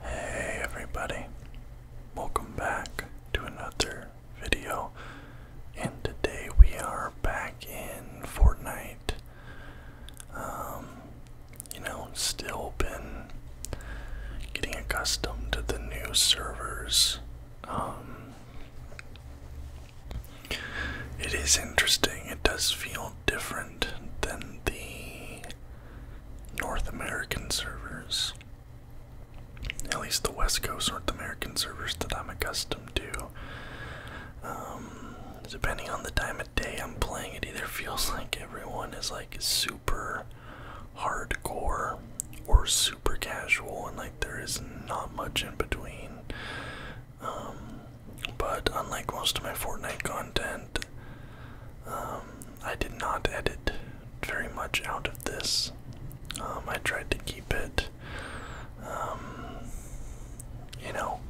Hey everybody, welcome back to another video, and today we are back in Fortnite. Um, you know, still been getting accustomed to the new servers. Um, it is interesting, it does feel different than the North American servers. At least the West Coast North American servers that I'm accustomed to. Um, depending on the time of day I'm playing, it either feels like everyone is like super hardcore or super casual, and like there is not much in between. Um, but unlike most of my Fortnite content, um, I did not edit very much out of this. Um, I tried to keep it, um, you know,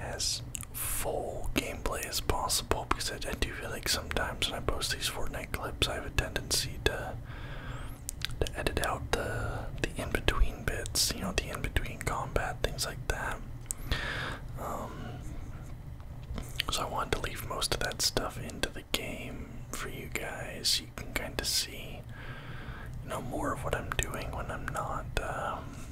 as full gameplay as possible because I, do feel like sometimes when I post these Fortnite clips, I have a tendency to to edit out the the in between bits, you know, the in between combat things like that. So I wanted to leave most of that stuff into the game for you guys. You can kind of see, you know, more of what I'm doing when I'm not, um,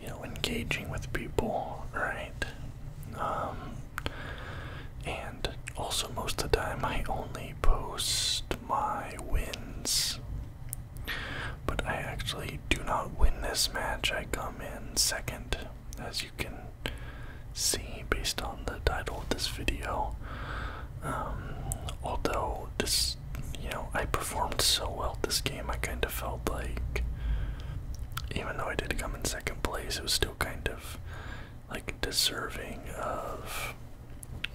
you know, engaging with people, right? Um, and also most of the time I only post my wins. But I actually do not win this match. I come in second as you can see based on the title of this video. Um, although this, you know, I performed so well this game, I kind of felt like, even though I did come in second place, it was still kind of like deserving of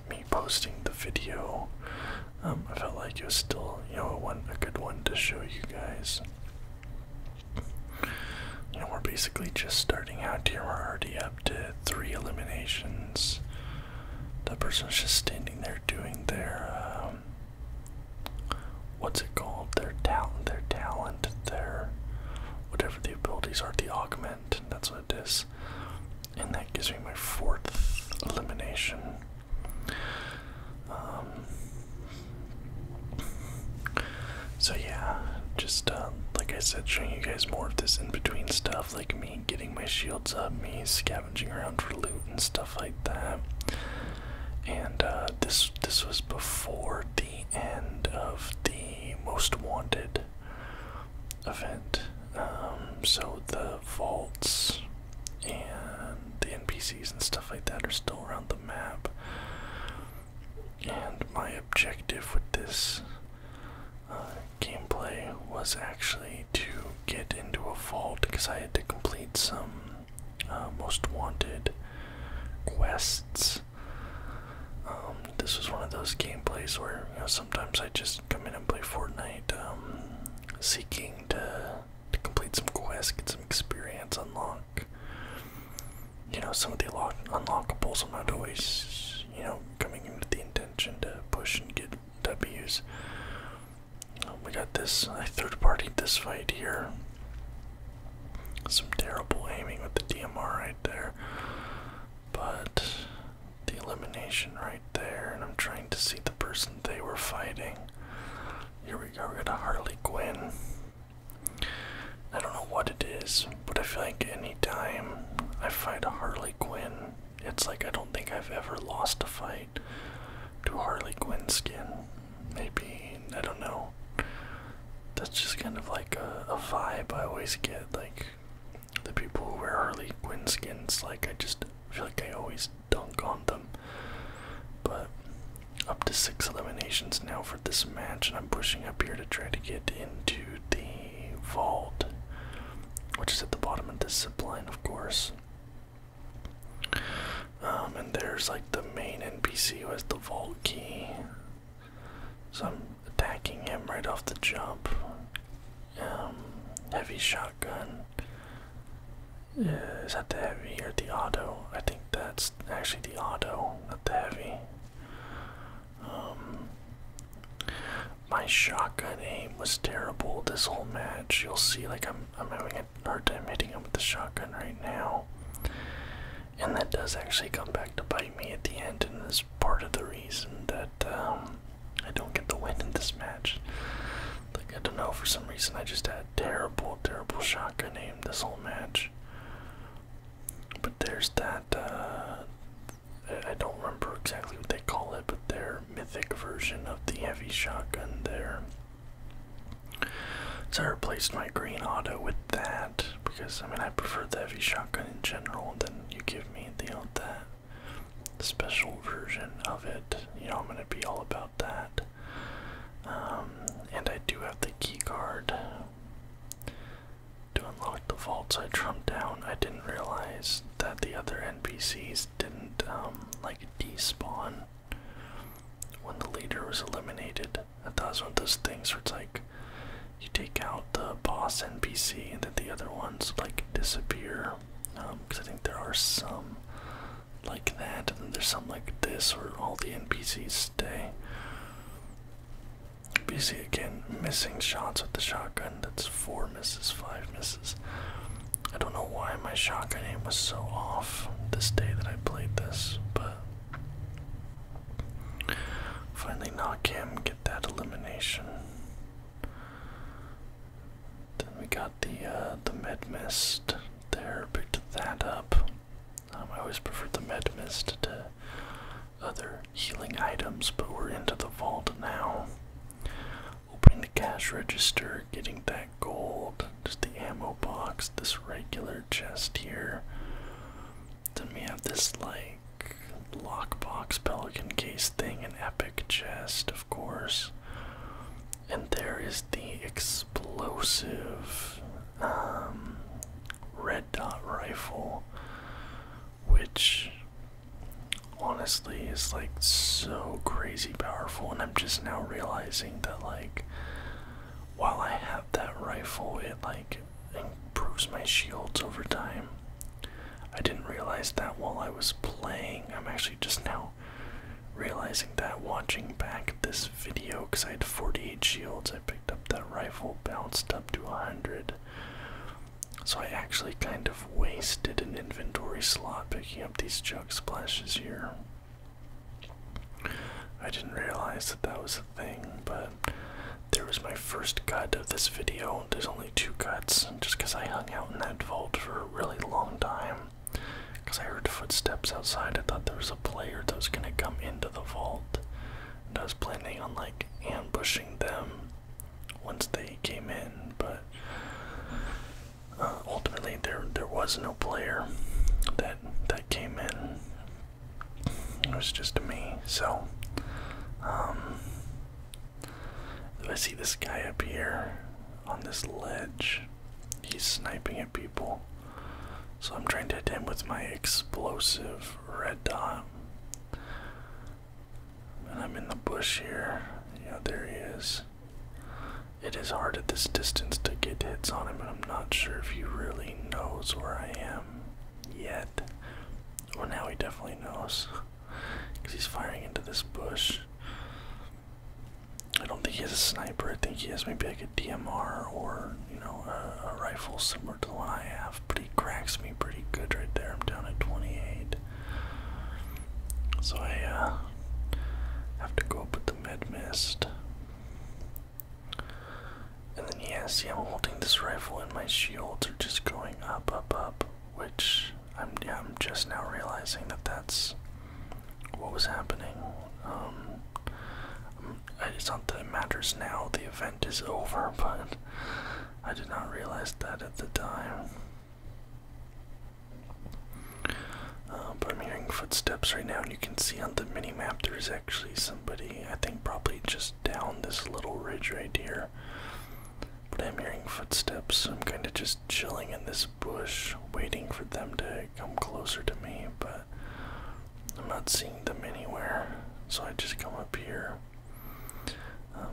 me posting the video. Um, I felt like it was still, you know, one, a good one to show you guys. You know, we're basically just starting out here. We're already up to three eliminations. That person's just standing there doing their, um, what's it called? Their talent, their talent, their whatever the abilities are, the augment. That's what it is. And that gives me my fourth elimination. Um, so yeah, just uh, like I said, showing you guys more of this in between stuff, like me getting my shields up, me scavenging around for loot and stuff like that. And uh, this this was before the end of the most wanted event. Um, so the vaults and the NPCs and stuff like that are still around the map. And my objective with this uh, gameplay was actually to get into a vault because I had to complete some uh, most wanted quests. Um, this was one of those gameplays where sometimes I just come in and play Fortnite, um, seeking to to complete some quests, get some experience, unlock, you know, some of the lock unlockables. I'm not always, you know, coming in with the intention to push and get W's. Um, we got this, I third party this fight here. Some terrible aiming with the DMR right there. But the elimination right there, and I'm trying to see the person they were fighting. Here we go, we got a Harley Quinn. I don't know what it is, but I feel like any time I fight a Harley Quinn, it's like I don't think I've ever lost a fight to Harley Quinn skin. Maybe, I don't know. That's just kind of like a, vibe I always get. Like, the people who wear Harley Quinn skins, like, I just feel like I always dunk on them. But up to six eliminations now for this match, and I'm pushing up here to try to get into the vault, which is at the bottom of this zip line, of course. Um, and there's like the main NPC who has the vault key. So I'm attacking him right off the jump. Um, heavy shotgun. Is that the heavy or the auto? I think that's actually the auto, not the heavy. Um, my shotgun aim was terrible this whole match. You'll see, like I'm, I'm having a hard time hitting him with the shotgun right now, and that does actually come back to bite me at the end, and is part of the reason that um, I don't get the win in this match. Like I don't know, for some reason I just had terrible, terrible shotgun aim this whole match. But there's that, uh, I don't remember exactly what they call it, but their mythic version of the heavy shotgun there. So I replaced my green auto with that because I mean I prefer the heavy shotgun in general than you give me the uh, that special version of it. You know I'm gonna be all about that. Um, and I do have the key card to unlock the vaults I trumped down. I didn't realize that the other NPCs didn't um, like despawn when the leader was eliminated. I was one of those things where it's like you take out the boss NPC and then the other ones like disappear. Because um, I think there are some like that, and then there's some like this where all the NPCs stay. BC again, missing shots with the shotgun. That's four misses, five misses. I don't know why my shotgun aim was so off this day that I played this, but finally knock him, get that elimination. Then we got the uh, the med mist there, picked that up. Um, I always prefer the med mist to other healing items, but we're into the vault now. Opening the cash register, getting that gold, just the ammo box, this regular chest here. Then we have this like lock box pelican case thing, an epic chest, of course. And there is the explosive um, red dot rifle, which honestly is like so crazy powerful. And I'm just now realizing that, like, while I have that rifle, it like improves my shields over time. I didn't realize that while I was playing. I'm actually just now realizing that watching back this video because I had 48 shields. I picked up that rifle, bounced up to 100. So I actually kind of wasted an inventory slot picking up these jug splashes here. I didn't realize that that was a thing, but there was my first cut of this video. There's only two cuts just because I hung out in that vault for a really long time. Because I heard footsteps outside. I thought there was a player that was going to come into the vault. And I was planning on like ambushing them once they came in, but uh, ultimately there there was no player that that came in. It was just me. So um I see this guy up here on this ledge. He's sniping at people. So I'm trying to hit him with my explosive red dot. And I'm in the bush here. Yeah, there he is. It is hard at this distance to get hits on him, and I'm not sure if he really knows where I am yet. Well, now he definitely knows. Because he's firing into this bush. I don't think he has a sniper. I think he has maybe like a DMR or you know a, rifle similar to the one I have. But he cracks me pretty good right there. I'm down at 28. So I uh, have to go up with the med mist. And then yeah, see, I'm holding this rifle and my shields are just going up, up, up. Which I'm I'm just now realizing that that's what was happening. Um, it's not that it matters now, the event is over, but I did not realize that at the time. Uh, but I'm hearing footsteps right now, and you can see on the mini map there's actually somebody, I think probably just down this little ridge right here. But I'm hearing footsteps, I'm kind of just chilling in this bush, waiting for them to come closer to me. But I'm not seeing them anywhere. So I just come up here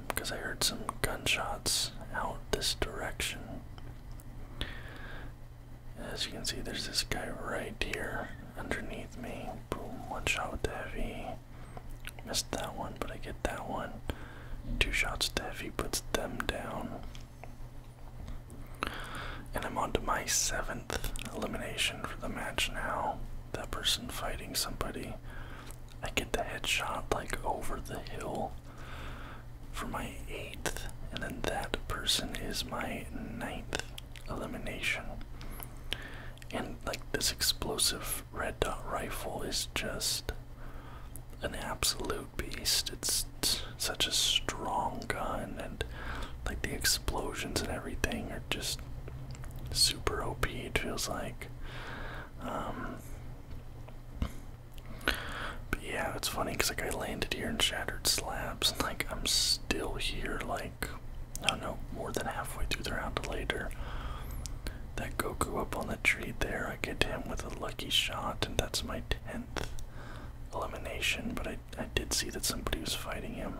because um, I heard some gunshots out this direction. As you can see, there's this guy right here underneath me. one shot with the heavy. Missed that one, but I get that one. Two shots the heavy puts them down. And I'm on to my seventh elimination for the match now. That person fighting somebody. I get the headshot like over the hill for my eighth, and then that person is my ninth elimination. And like this explosive red dot rifle is just an absolute beast. It's such a strong gun and like the explosions and everything are just super OP it feels like. Um But yeah, it's funny because like I landed here in Shattered Slabs and like I'm still here like I don't know, more than halfway through the round later. That Goku up on the tree there, I get him with a lucky shot, and that's my 10th elimination, but I I did see that somebody was fighting him.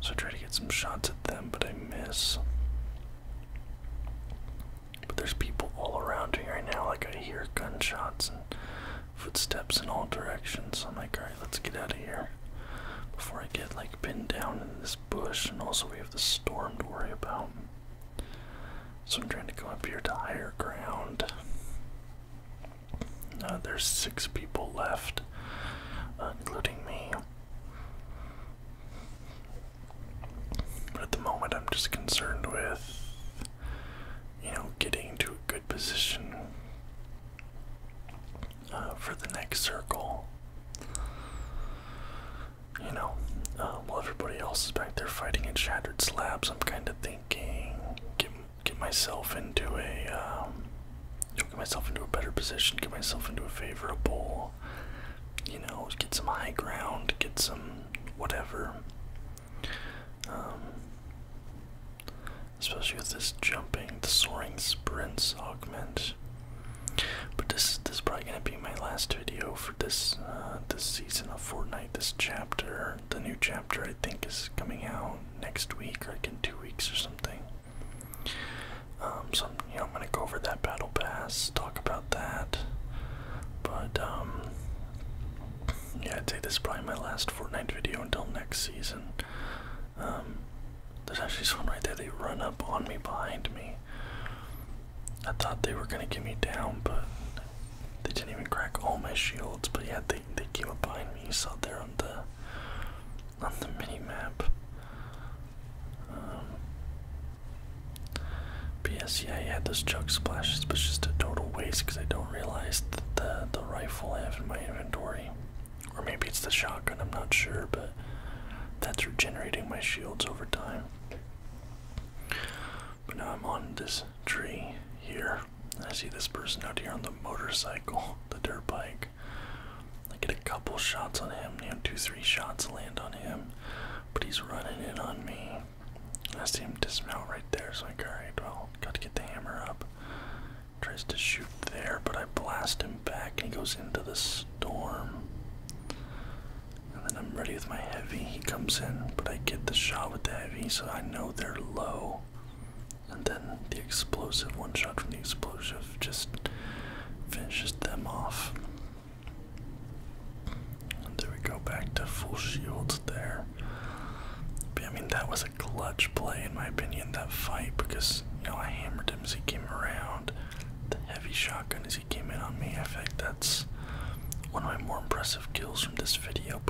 So I try to get some shots at them, but I miss. But there's people all around me right now. Like I hear gunshots and footsteps in all directions. So I'm like, alright, let's get out of here. Before I get like pinned down in this bush, and also we have the storm to worry about. So I'm trying to go up here to higher ground. Uh, there's six people left, uh, including me. But at the moment, I'm just concerned with, you know, getting to a good position uh, for the next circle. You know, while everybody else is back there fighting in Shattered Slabs, I'm kind of thinking, get myself into a um, get myself into a better position, get myself into a favorable, you know, get some high ground, get some whatever. Um, especially with this jumping, the soaring sprints augment. But this this is probably gonna be my last video for this uh, this season of Fortnite, this chapter, the new chapter I think is coming out next week like in two weeks or something. Um, so you know I'm gonna go over that battle pass, talk about that. But um, yeah, I'd say this is probably my last Fortnite video until next season. Um, there's actually someone right there. They run up on me behind me. I thought they were gonna get me down, but they didn't even crack all my shields, but yeah, they they came up behind me. You saw there on the on the mini map. Um, but yes, yeah, those chug splashes, but it's just a total waste because I don't realize that the the rifle I have in my inventory, or maybe it's the shotgun. I'm not sure, but that's regenerating my shields over time. But now I'm on this tree here. I see this person out here on the motorcycle, the dirt bike. I get a couple shots on him, you two, three shots land on him, but he's running in on me. I see him dismount right there, so I'm like, alright, well, gotta get the hammer up. Tries to shoot there, but I blast him back and he goes into the storm. And then I'm ready with my heavy. He comes in, but I get the shot with the heavy, so I know they're low. And then the explosive one shot from the explosive just finishes them off. And we go back to full shields there. I mean that was a clutch play in my opinion, that fight, because you know I hammered him as he came around. The heavy shotgun as he came in on me. I think that's one of my more impressive kills from this video,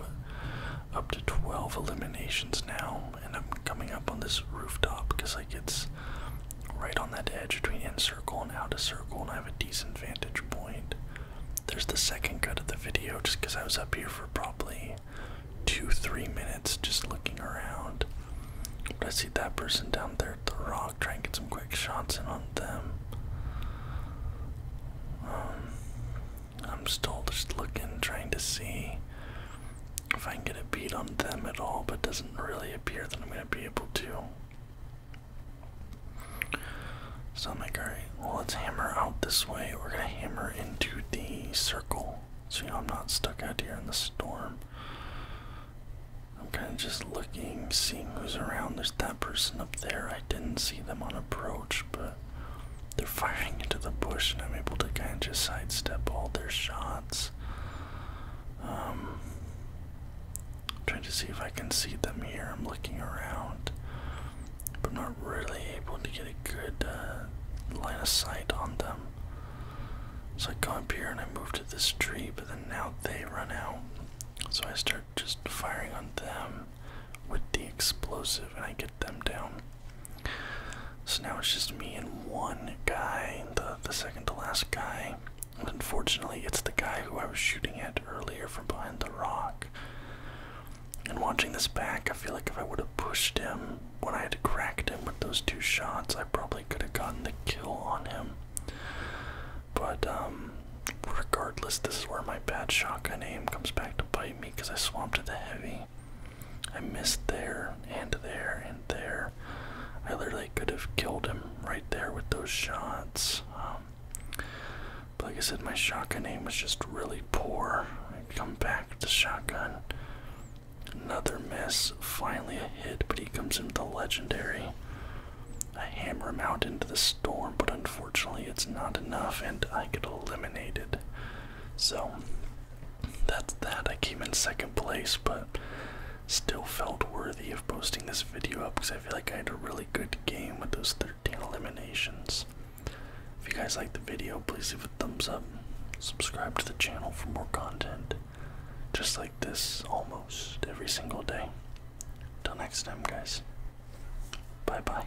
up to 12 eliminations now, and I'm coming up on this rooftop because like it's right on that edge between inner circle and outer circle, and I have a decent vantage point. There's the second cut of the video just because I was up here for probably two, three minutes just looking around. But I see that person down there at the rock, trying to get some quick shots in on them. Um, I'm still just looking, trying to see if I can get a beat on them at all, but it doesn't really appear that I'm going to be able to. So I'm like, alright, well, let's hammer out this way. We're going to hammer into the circle so you know I'm not stuck out here in the storm. I'm kind of just looking, seeing who's around. There's that person up there. I didn't see them on approach, but they're firing into the bush, and I'm able to kind of just sidestep all their shots. I'm um, trying to see if I can see them here. I'm looking around, but not really able to get a good uh, line of sight on them. So I go up here and I move to this tree, but then now they run out. So I start just firing on them with the explosive and I get them down. So now it's just me and one guy, the, the second to last guy. unfortunately, it's the guy who I was shooting at earlier from behind the rock. And watching this back, I feel like if I would have pushed him when I had cracked him with those two shots, I probably could have gotten the kill on him. But um, regardless, this is where my bad shotgun aim comes back to bite me because I swamped the heavy. I missed there and there and there. I literally could have killed him right there with those shots. Um, but like I said, my shotgun aim was just really poor. I come back with the shotgun. Another miss. Finally a hit, but he comes in with a legendary. I hammer him out into the storm, but unfortunately it's not enough, and I get eliminated. So that's that. I came in second place, but still felt worthy of posting this video up because I feel like I had a really good game with those 13 eliminations. If you guys like the video, please leave a thumbs up. Subscribe to the channel for more content just like this almost every single day. Till next time, guys. Bye bye.